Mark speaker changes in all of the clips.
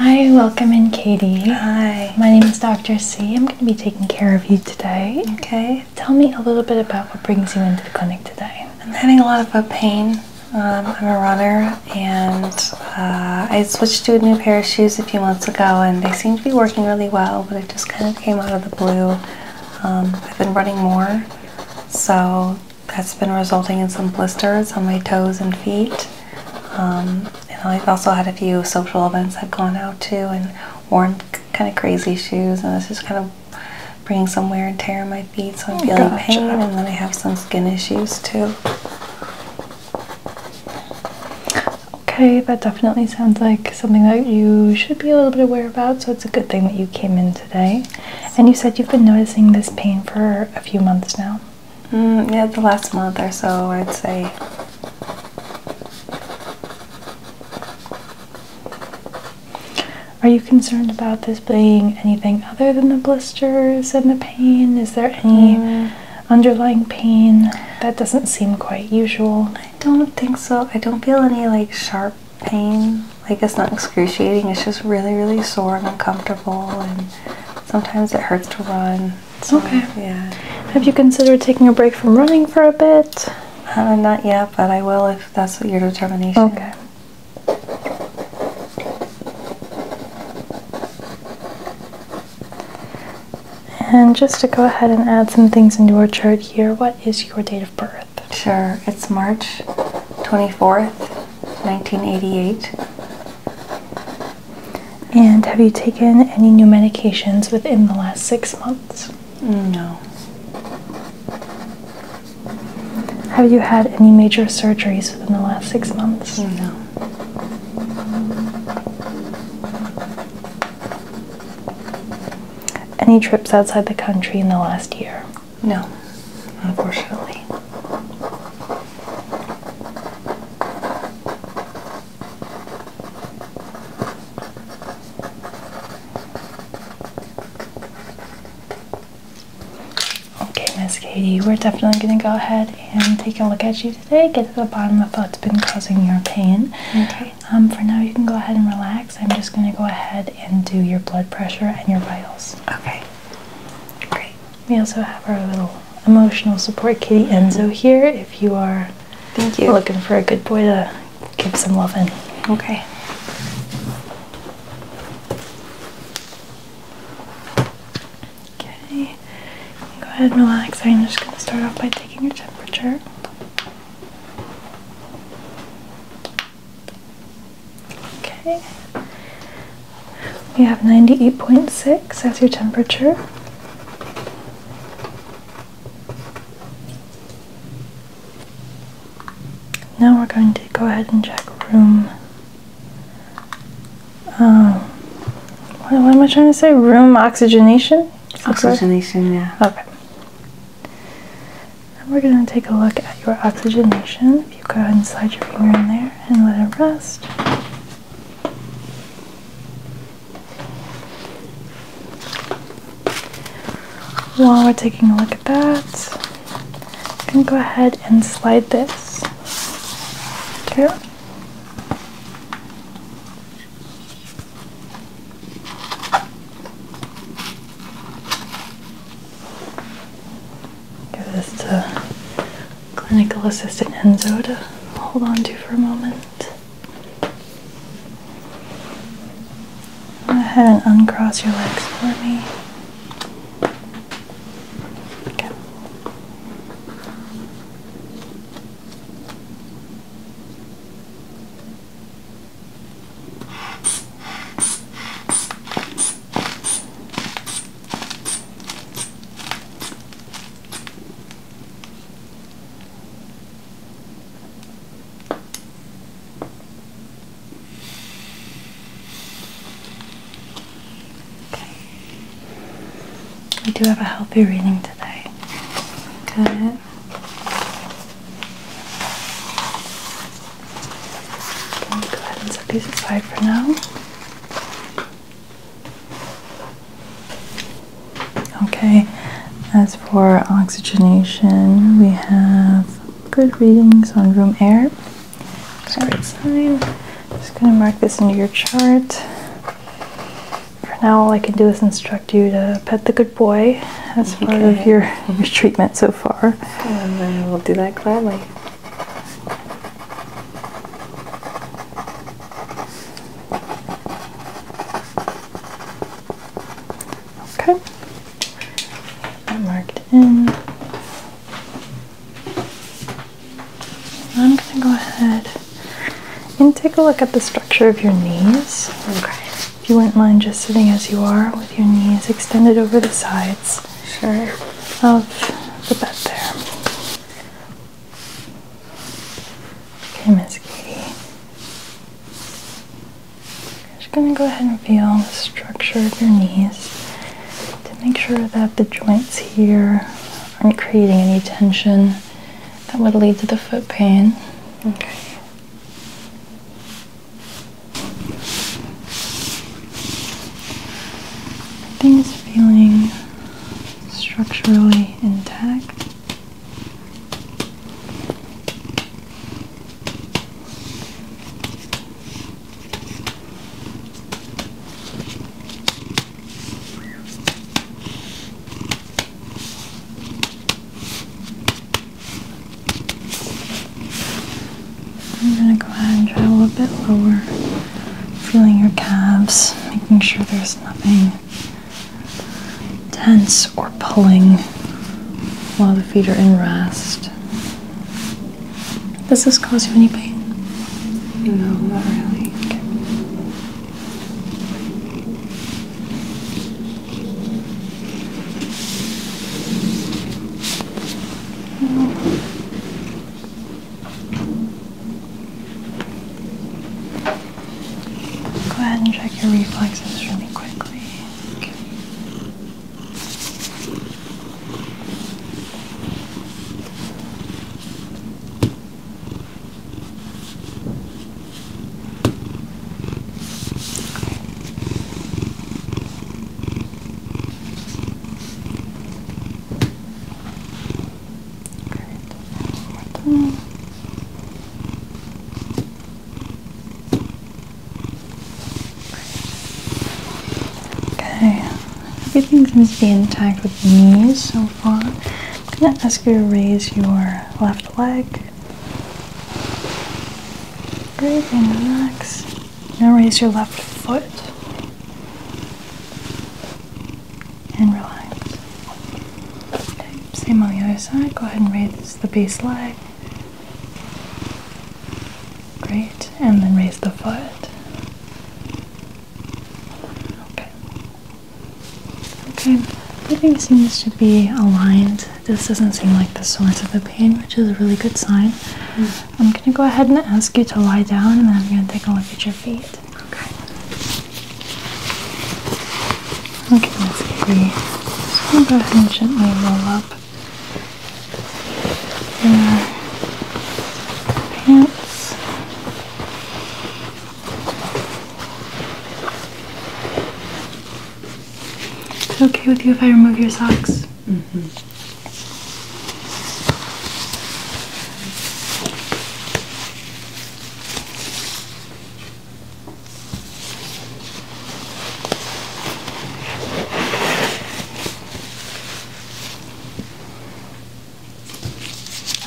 Speaker 1: Hi, welcome in, Katie. Hi. My name is Dr. C. I'm going to be taking care of you today. Okay. Tell me a little bit about what brings you into the clinic today. I'm having a lot of pain. Um, I'm a runner, and uh, I switched to a new pair of shoes a few months ago, and they seem to be working really well, but it just kind of came out of the blue. Um, I've been running more so that's been resulting in some blisters on my toes and feet. Um, and I've also had a few social events I've gone out to and worn kind of crazy shoes, and this is kind of bringing some wear and tear on my feet, so I'm oh, feeling pain, and then I have some skin issues too. Okay, that definitely sounds like something that you should be a little bit aware about, so it's a good thing that you came in today. And you said you've been noticing this pain for a few months now? Mm, yeah, the last month or so, I'd say. Are you concerned about this being anything other than the blisters and the pain? Is there any mm. underlying pain that doesn't seem quite usual? I don't think so. I don't feel any like sharp pain. Like it's not excruciating, it's just really, really sore and uncomfortable, and sometimes it hurts to run. So, okay. Yeah. Have you considered taking a break from running for a bit? Uh, not yet, but I will if that's your determination. Okay. And just to go ahead and add some things into our chart here, what is your date of birth? Sure, it's March 24th, 1988. And have you taken any new medications within the last six months? No. Have you had any major surgeries within the last six months? No. Any trips outside the country in the last year? No, unfortunately. Okay, Miss Katie, we're definitely going to go ahead and take a look at you today, get to the bottom of what's been causing your pain. Okay. Um, for now you can go ahead and relax. I'm just going to go ahead and do your blood pressure and your vitals. Okay, great. We also have our little emotional support kitty Enzo here if you are Thank you. looking for a good boy to give some love in. Okay. Okay, go ahead and relax. I'm just going to start off by taking your temperature. Okay. We have 98.6 as your temperature. Now we're going to go ahead and check room. Um, what, am I trying to say? Room oxygenation? Oxygenation, yeah. Okay. And we're going to take a look at your oxygenation. If you go ahead and slide your finger in there and let it rest. While we're taking a look at that, I'm going to go ahead and slide this through. Give this to clinical assistant Enzo to hold on to for a moment. Go ahead and uncross your legs for me. Okay. Okay. I do have a healthy reading today. Good go ahead and set these aside for now. Okay, as for oxygenation, we have good readings on room air. That's a Just going to mark this into your chart for now, all I can do is instruct you to pet the good boy as part of your, treatment so far. And we will do that gladly. Okay. I marked in. I'm going to go ahead and take a look at the structure of your knees. Okay. If you wouldn't mind just sitting as you are with your knees extended over the sides sure. of the bed there. Okay, Miss Katie. I'm just going to go ahead and feel the structure of your knees to make sure that the joints here aren't creating any tension that would lead to the foot pain. Okay. Everything's feeling structurally intact. I'm going to go ahead and try a little bit lower, feeling your calves, making sure there's nothing tense or pulling while the feet are in rest. Does this cause you any pain? No, not really. Go ahead and check your reflexes really quickly. Good. Okay, everything seems to be intact with the knees, so for. i ask you to raise your left leg. Breathe and relax. Now raise your left foot and relax. Okay, same on the other side. Go ahead and raise the base leg. Great, and then raise the foot. Okay. Okay, everything seems to be aligned. This doesn't seem like the source of the pain, which is a really good sign. Hmm. I'm gonna go ahead and ask you to lie down, and then I'm gonna take a look at your feet. Okay. Okay, Let's see. Avery. Just gonna go ahead and gently roll up your pants. Is it okay with you if I remove your socks? Mm-hmm.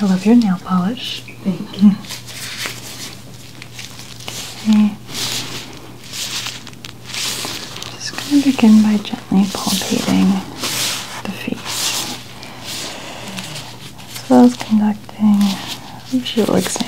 Speaker 1: I love your nail polish. Thank you. Okay. Just going to begin by gently palpating the feet, as well as conducting a visual exam.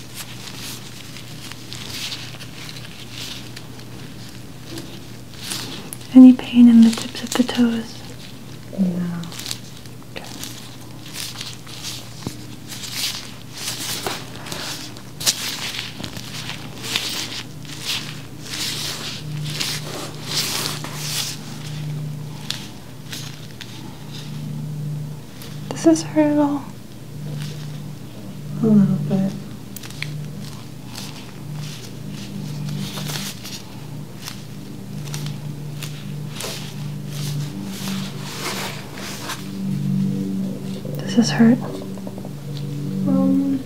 Speaker 1: Any pain in the tips of the toes? No. This is hurt at all a little bit. Does this hurt? Um,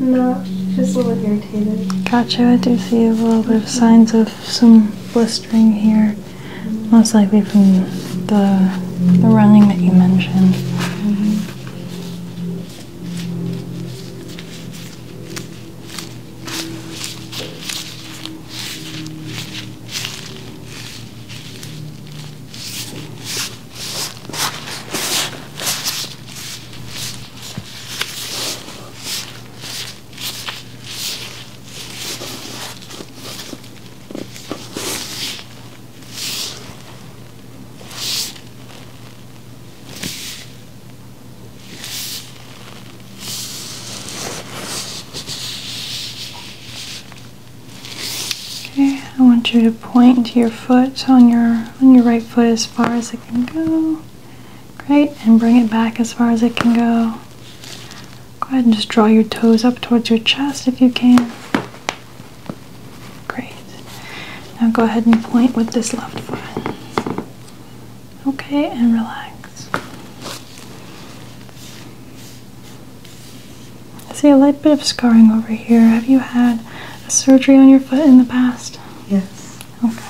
Speaker 1: no, just a little irritated. Gotcha. I do see a little bit of signs of some blistering here most likely from the, the running that you mentioned. Mm-hmm. Okay, I want you to point to your foot on your on your right foot as far as it can go. Great, and bring it back as far as it can go. Go ahead and just draw your toes up towards your chest if you can. Great. Now go ahead and point with this left foot. Okay, and relax. I see a light bit of scarring over here. Have you had a surgery on your foot in the past? Yes. Okay.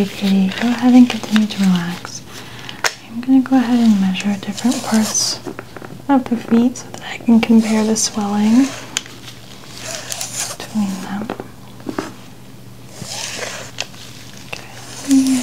Speaker 1: Okay, Katie, go ahead and continue to relax. I'm going to go ahead and measure different parts of the feet so that I can compare the swelling between them. Okay,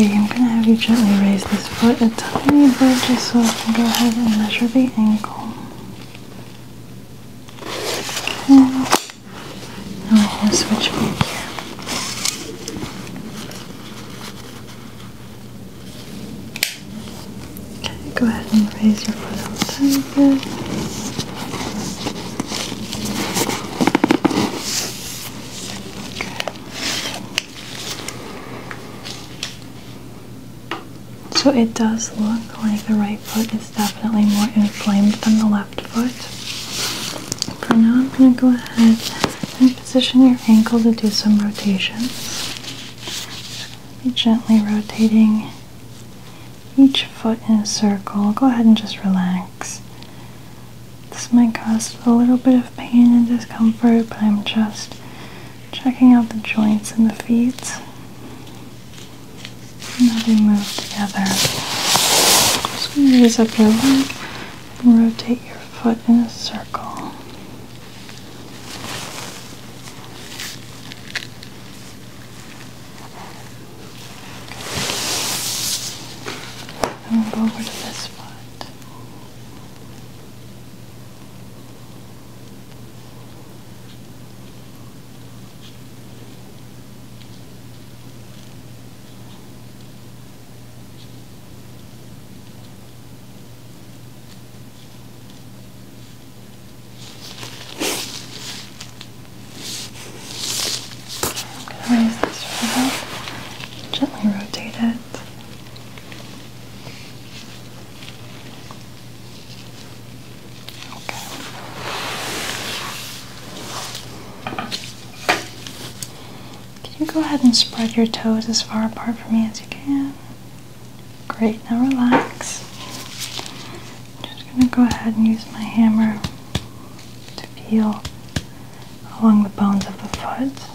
Speaker 1: Okay, I'm gonna have you gently raise this foot a tiny bit just so I can go ahead and measure the ankle. Now I'm to switch back here. Okay, go ahead and raise your foot up a tiny bit. So it does look like the right foot is definitely more inflamed than the left foot. For now, I'm going to go ahead and position your ankle to do some rotations. Be gently rotating each foot in a circle. Go ahead and just relax. This might cause a little bit of pain and discomfort, but I'm just checking out the joints in the feet. Now they move together. Just raise up your leg and rotate your foot in a circle. And we'll go over to this spot. I'm going to raise this right up, gently rotate it. Can you go ahead and spread your toes as far apart from me as you can? Great, now relax. I'm just going to go ahead and use my hammer to feel along the bones of the foot.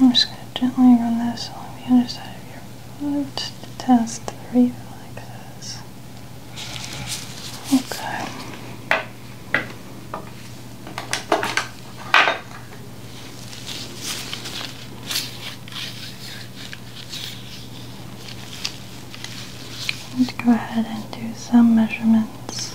Speaker 1: I'm just going to gently run this along the underside of your foot to test the reflexes. Okay. Let's go ahead and do some measurements.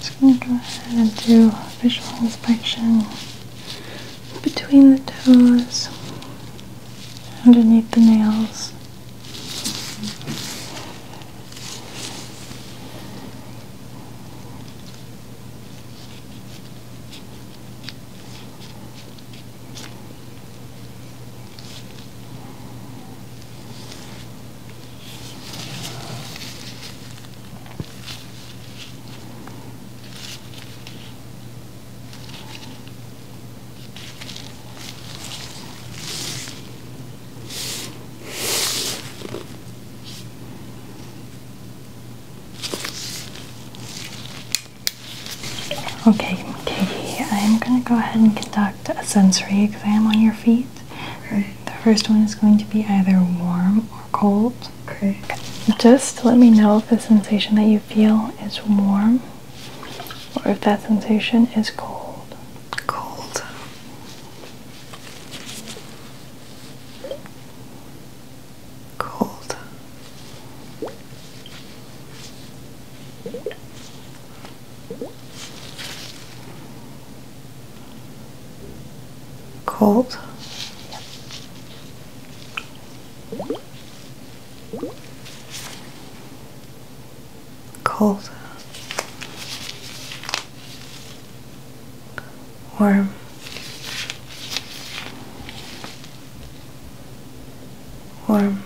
Speaker 1: Just going to go ahead and do a visual inspection between the toes, underneath the nails. Okay, Katie, I'm going to go ahead and conduct a sensory exam on your feet. The first one is going to be either warm or cold. Just let me know if the sensation that you feel is warm or if that sensation is cold. Cold. Cold. Cold. Cold. Warm. Warm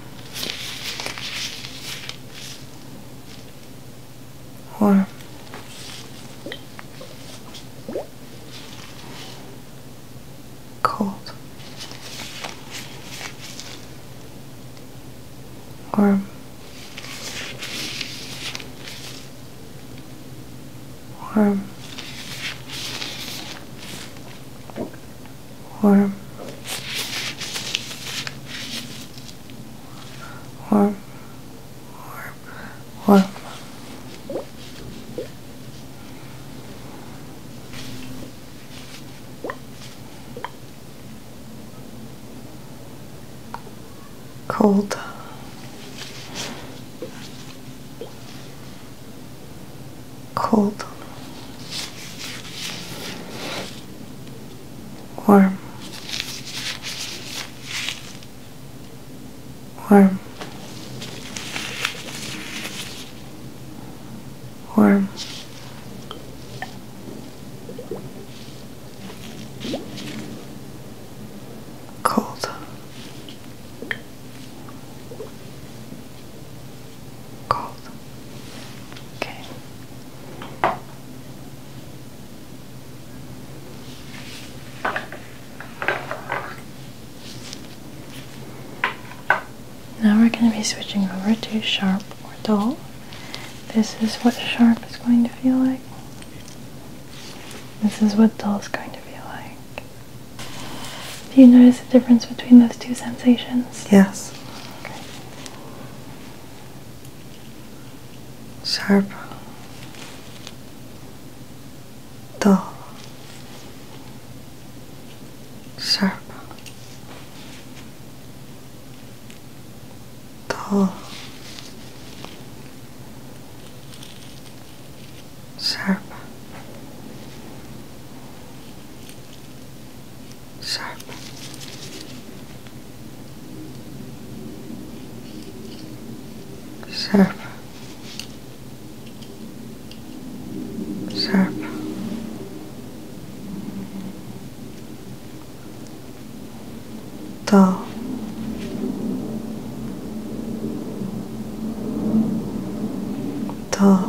Speaker 1: warm. Cold, warm, warm, warm, warm, warm, warm. Cold. cold warm, warm, warm. Cold, cold. Okay. Now we're going to be switching over to sharp or dull. This is what sharp is going to feel like. This is what dull is going to feel like. Do you notice the difference between those two sensations? Yes sharp, dull, sharp, dull, sharp, sharp. Sharp. Sharp. Dull. Dull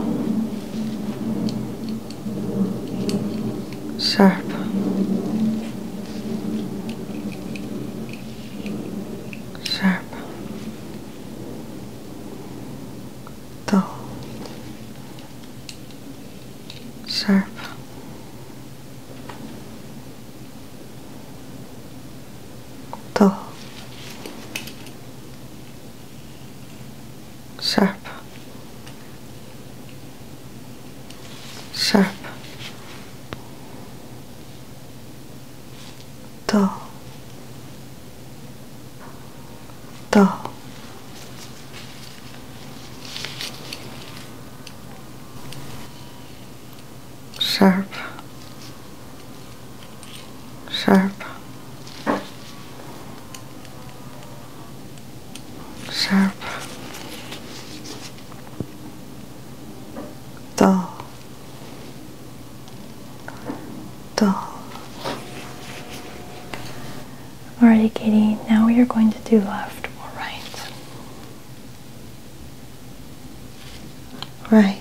Speaker 1: sharp. Sharp, dull, sharp, dull, sharp sharp dull dull sharp sharp sharp, dull, dull. Alrighty, Katie, now you're going to do left or right. Right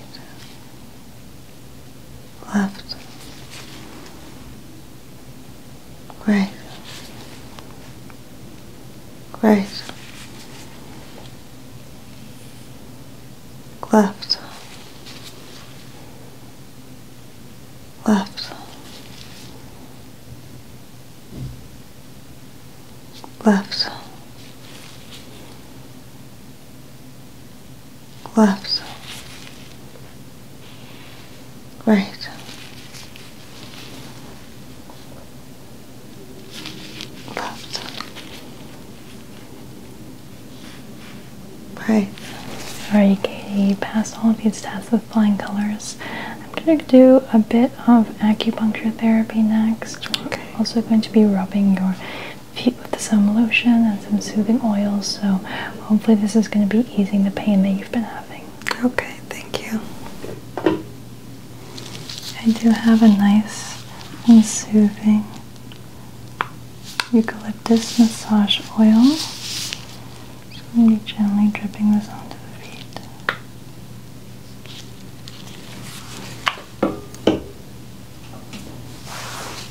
Speaker 1: left, right, right, left, left, left left, right. Left, right. Alrighty, Katie, passed all of these tests with flying colors, I'm going to do a bit of acupuncture therapy next. Okay. also going to be rubbing your feet with some lotion and some soothing oils, so hopefully this is going to be easing the pain that you've been having. Okay, thank you. I do have a nice soothing eucalyptus massage oil. Just going to be gently dripping this onto the feet.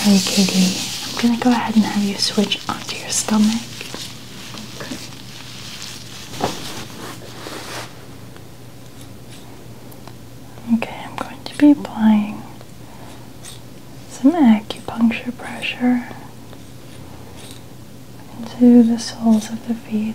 Speaker 1: Alright, Katie, I'm gonna go ahead and have you switch onto your stomach. Okay. Okay, I'm going to be applying some acupuncture pressure into the soles of the feet.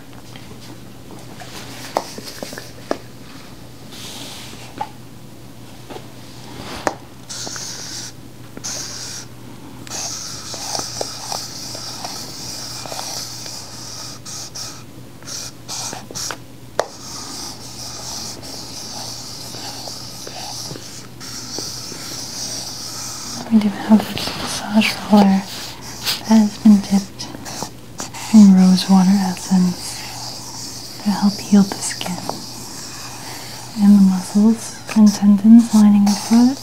Speaker 1: We do have a massage roller has been dipped in rose water essence to help heal the skin and the muscles and tendons lining the foot.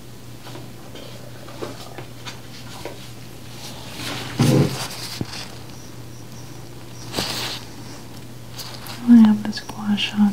Speaker 1: I have the squash on.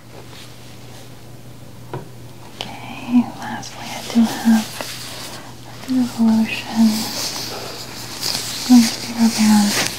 Speaker 1: Okay, lastly I do have a bit lotion. I'm going to be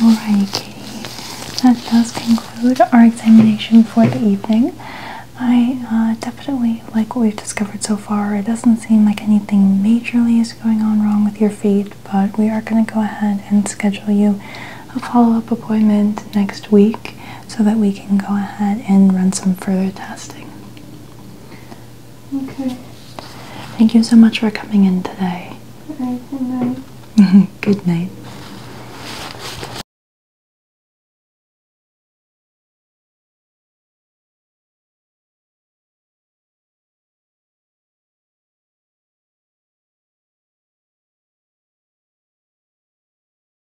Speaker 1: Alrighty, Kitty. That does conclude our examination for the evening. I uh, definitely like what we've discovered so far. It doesn't seem like anything majorly is going on wrong with your feet, but we are going to go ahead and schedule you a follow up appointment next week so that we can go ahead and run some further testing. Okay. Thank you so much for coming in today. Good night. Good night.